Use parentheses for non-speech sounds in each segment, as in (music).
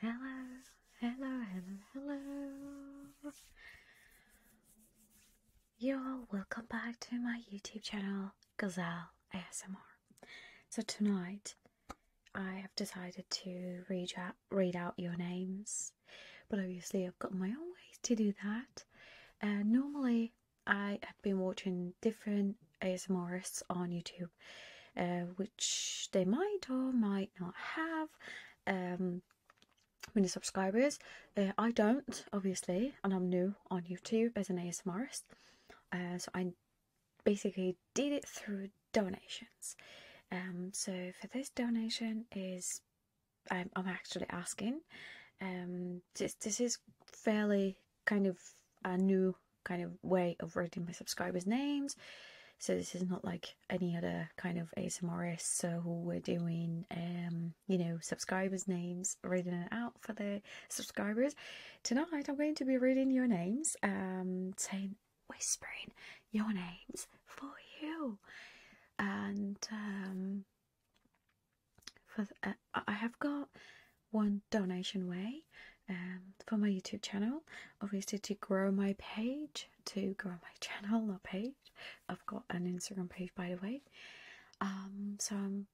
Hello, hello, hello, hello. Y'all, welcome back to my YouTube channel, Gazelle ASMR. So tonight, I have decided to read out, your names, but obviously I've got my own ways to do that. Uh, normally, I have been watching different ASMRists on YouTube, uh, which they might or might not have many um, subscribers. Uh, I don't, obviously, and I'm new on YouTube as an ASMRist, uh, so I basically did it through donations. Um, so for this donation is um, I'm, actually asking. this is fairly kind of a new kind of way of reading my subscribers' names. So this is not like any other kind of ASMRist. So we're doing, um, you know, subscribers' names, reading it out for the subscribers. Tonight I'm going to be reading your names, um, saying, whispering your names for you. And um, for uh, I have got one donation way um, for my YouTube channel. Obviously, to grow my page, to grow my (laughs) channel not page. I've got an Instagram page, by the way. Um, so I'm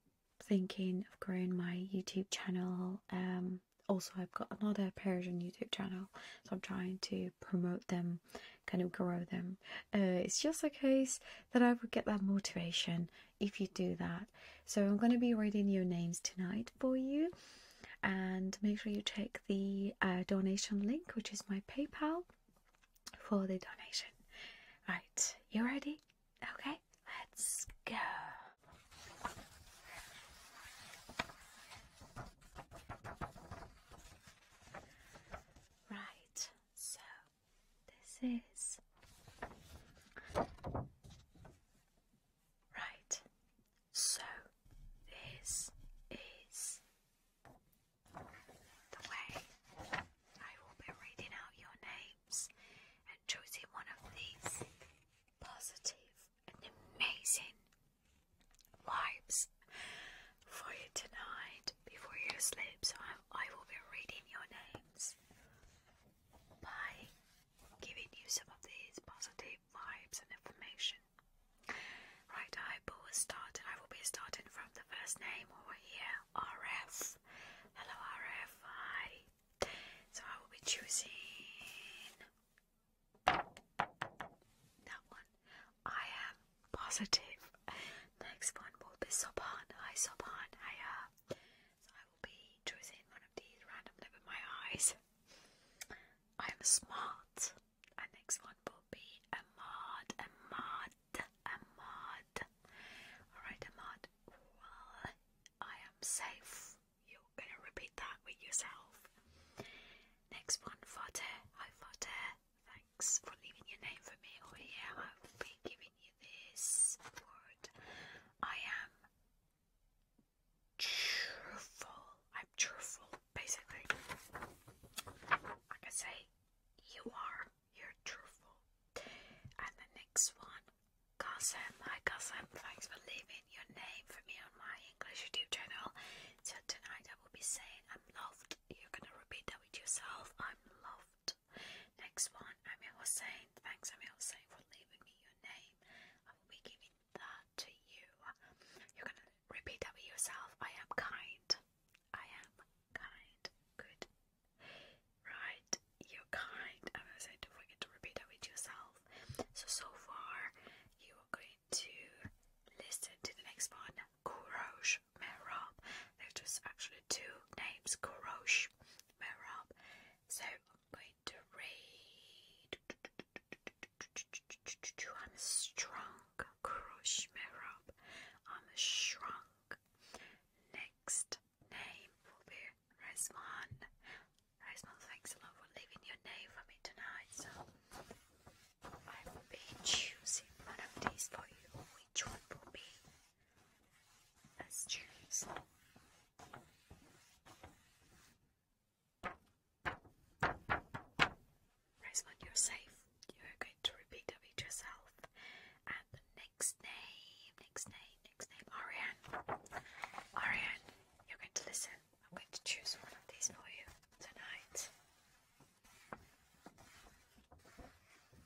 thinking of growing my YouTube channel. Um, also, I've got another Persian YouTube channel, so I'm trying to promote them, kind of grow them. Uh, it's just a case that I would get that motivation if you do that. So I'm going to be reading your names tonight for you, and make sure you check the uh, donation link, which is my PayPal, for the donation. Right, you ready? Okay, let's go. Right, so this is. Right, so this is the way I will be reading out your names and choosing one of these positive and amazing vibes for you tonight before you sleep. So i will be reading your names by giving you some of these positive vibes and information. Right, I will start. I will be starting from the first name over here, RF. Hello, RF. Hi. So I will be choosing that one. I am positive. Next one will be Sopan. Hi, Sopan. Hiya be choosing one of these randomly with my eyes. I am smart. next one will be a mod, a mod, a mod. Alright, a mod. Well, I am safe. You're gonna repeat that with yourself. Next one, Fate. Hi, Fate. Thanks for leaving your name for me. Oh, yeah, I will be I am truthful. I'm truthful, basically. I can say you are. You're truthful. And the next one, Gossam. my Gossam. Thanks for leaving your name for me on my English YouTube channel. So tonight I will be saying I'm loved. You're gonna repeat that with yourself. I'm loved. Croft. Next one, Amir Hossein. Thanks, Amir Hossein, for leaving me your name. I will be giving that to you. You're gonna repeat that with yourself. I am kind. I am kind. Good. Right. You're kind. I'm gonna say don't forget to repeat that with yourself. So so far you are going to listen to the next one. Kurosh Merab. There's just actually two names, Kurosh Merab so I'm going to read. I'm strong, crush me I'm shrunk. Next name will be Resman. Resman, thanks a lot for leaving your name for me tonight. So I will be choosing one of these for you. Which one will be as you're safe. You're going to repeat it yourself. And next name, next name, next name, Ariane. Ariane, you're going to listen. I'm going to choose one of these for you tonight.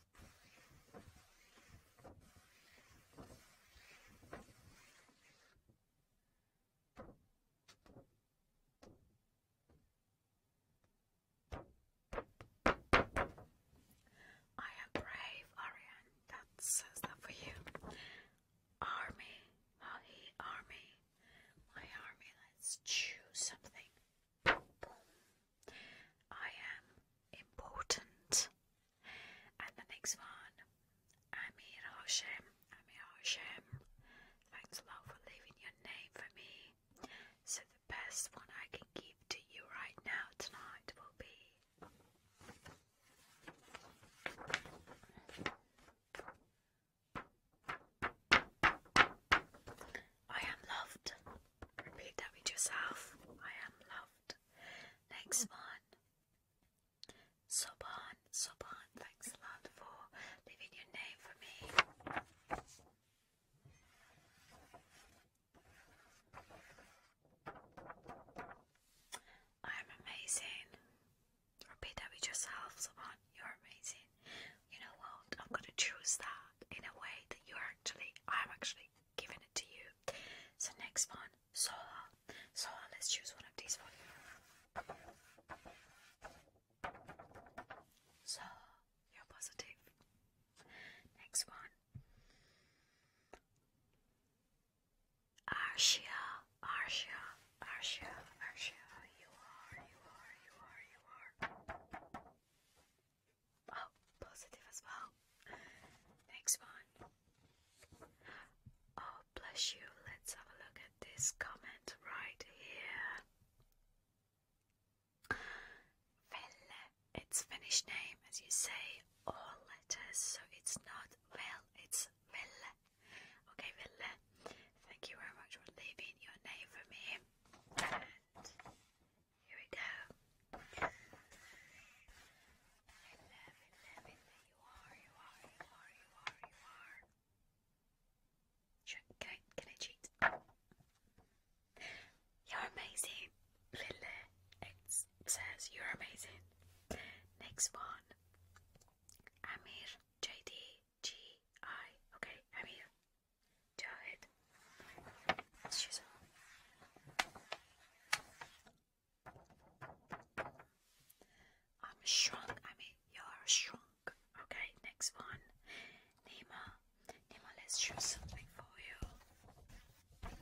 I am brave, Ariane. That says that for you. Army, Molly, army, my army. Let's choose something. I am important. And the next one, Amir Hashem. Amir Hashem, thanks a lot for leaving your name for me. So the best one I can give to you right now tonight will be. I am loved. Repeat that with yourself. I am loved. Next one. Soban, Soban, thanks a lot for leaving your name for me. I'm amazing. Repeat that with yourself, Soban. You're amazing. You know what? I'm gonna choose that in a way that you actually, I'm actually giving it to you. So next one, solar. Solar, let's choose one of these for you. you're positive. Next one. Arshia, Arshia, Arshia, Arshia, you are, you are, you are, you are. Oh, positive as well. Next one. Oh, bless you. Let's have a look at this comment right here. Velle, it's Finnish name, as you say, all letters, so it's not well, it's Velle. Okay, Velle, thank you very much for leaving your name for me. Here we go. I love it, love You are, you are, you are, you are, you are. Sure, can I, cheat? You're amazing, Lille. It says you're amazing. Next one. Amir JD Okay, Amir. Jahid. She's I'm strong, I mean, you're strong. Okay, next one. Nima, Nima, let's choose something for you.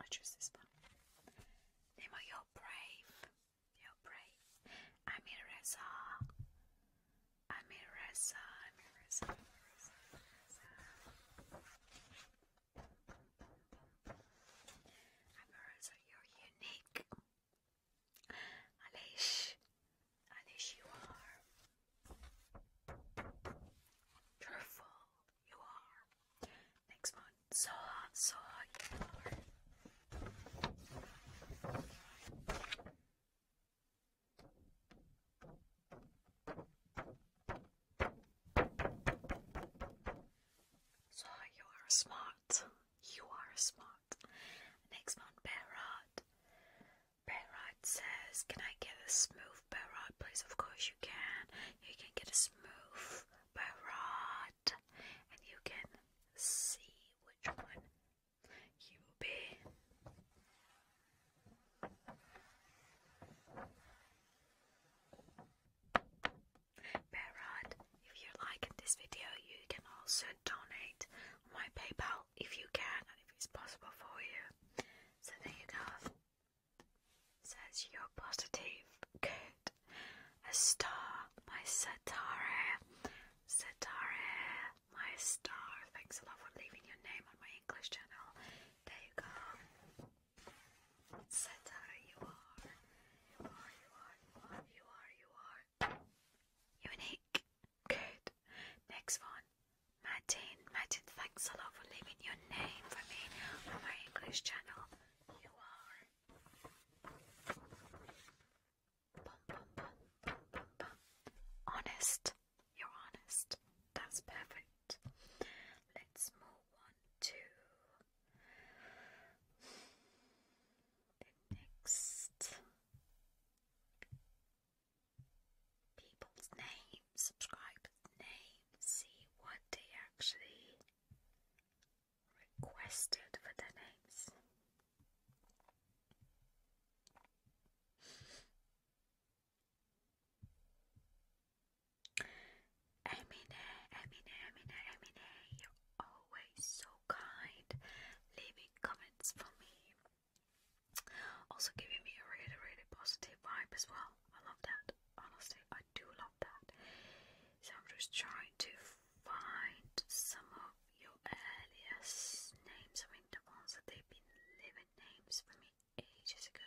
I choose this one. Nima, you're brave. I'm Reza. Amir Reza. Amir Reza. Amir Reza, you're unique. Alish. Alish, you are. Wonderful, you are. Next one. So hot, so hot, so you are smart. You are smart. Next one, Berard. Berard says, Can I get a smooth Berard, please? Of course you can. You can get a smooth Berard. And you can see which one you will if you like this video, you can also donate on my PayPal if you can and if it's possible for you. So there you go. Says you're positive. Good. A star by Satare. Satare my star. Thanks a lot for leaving your name on my English channel. There you go. Setter, you are. You are, you are, you are, you are, Unique. Good. Next one. Martin. Martin, thanks a lot for leaving your name for me on my English channel. You are. Honest. You're honest. That's perfect. Let's move on to next people's names, subscribers' names, see what they actually requested for their names. Emine, Emine, Emine, Emine, you're always so kind, leaving comments for me. Also giving me a really, really positive vibe as well. I love that. Honestly, I do love that. So I'm just trying to find some of your earliest names. I mean, the ones that they've been living names for me ages ago.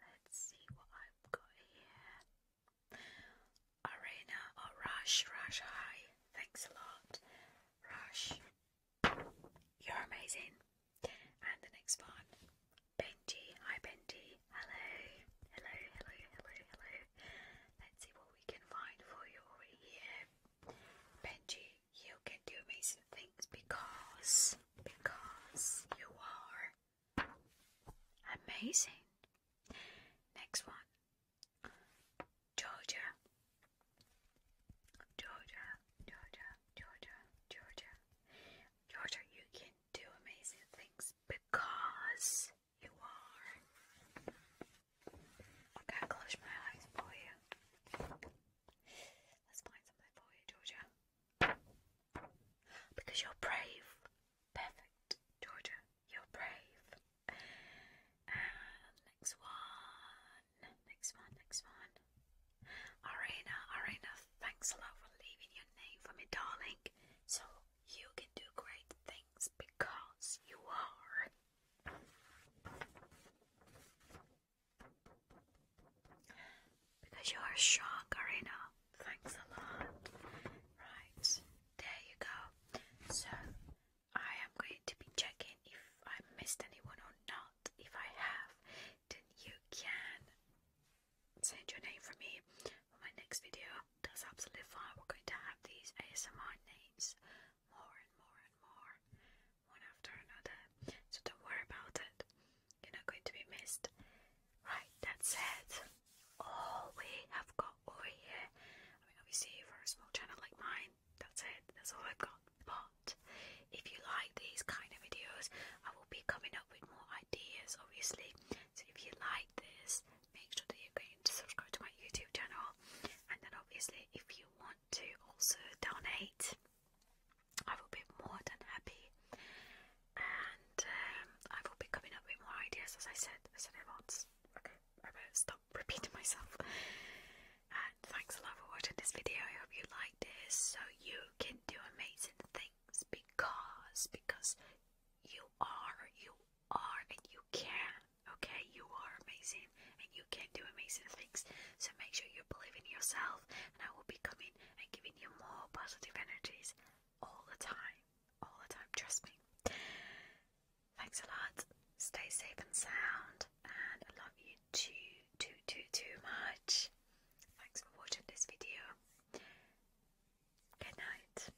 Let's see what I've got here. Arena or oh, Rush, Rush, hi. Thanks a lot. Rush, you're amazing. And the next one, Benji. Hi, Benji. Hello, hello, hello, hello, hello. Let's see what we can find for you over here. Benji, you can do amazing things because, because you are amazing. Next one. Georgia. Georgia, Georgia, Georgia, Georgia. Georgia, you can do amazing things because you are. Okay, I'll close my eyes for you. Let's find something for you, Georgia. Because you're brave. Perfect, Georgia. You're brave. next one. Next one, next one. Arena, Arena, thanks a lot for leaving your name for me, darling. So you can do great things because you are. Because you are strong, Karina. Thanks a lot. Right, there you go. So, I am going to be checking if I missed anyone or not. If I have, then you can send your name for me for my next video that's absolutely fine. We're going to have these ASMR names more and more and more, one after another. So don't worry about it. You're not going to be missed. Right, that's it. All we have got over here. I mean, obviously, for a small channel like mine, that's it. That's all I've got. But if you like these kind of videos, I will be coming up with more ideas, obviously. So if you like this, make sure that you're going to subscribe to my YouTube channel. And then, obviously, if you want to also donate, I will be more than happy. And um, I will be coming up with more ideas, as I said. I said it once. Okay, I better stop repeating myself. And thanks a lot for watching this video. I hope you liked it, so you can do amazing things because because you are you are and you can. Okay, you are amazing and you can do amazing things. So make sure you believe in yourself, and I will be coming and giving you more positive energies all the time. All the time, trust me. Thanks a lot. Stay safe and sound, and love you too, too, too, too much. Thanks for watching this video. Good night.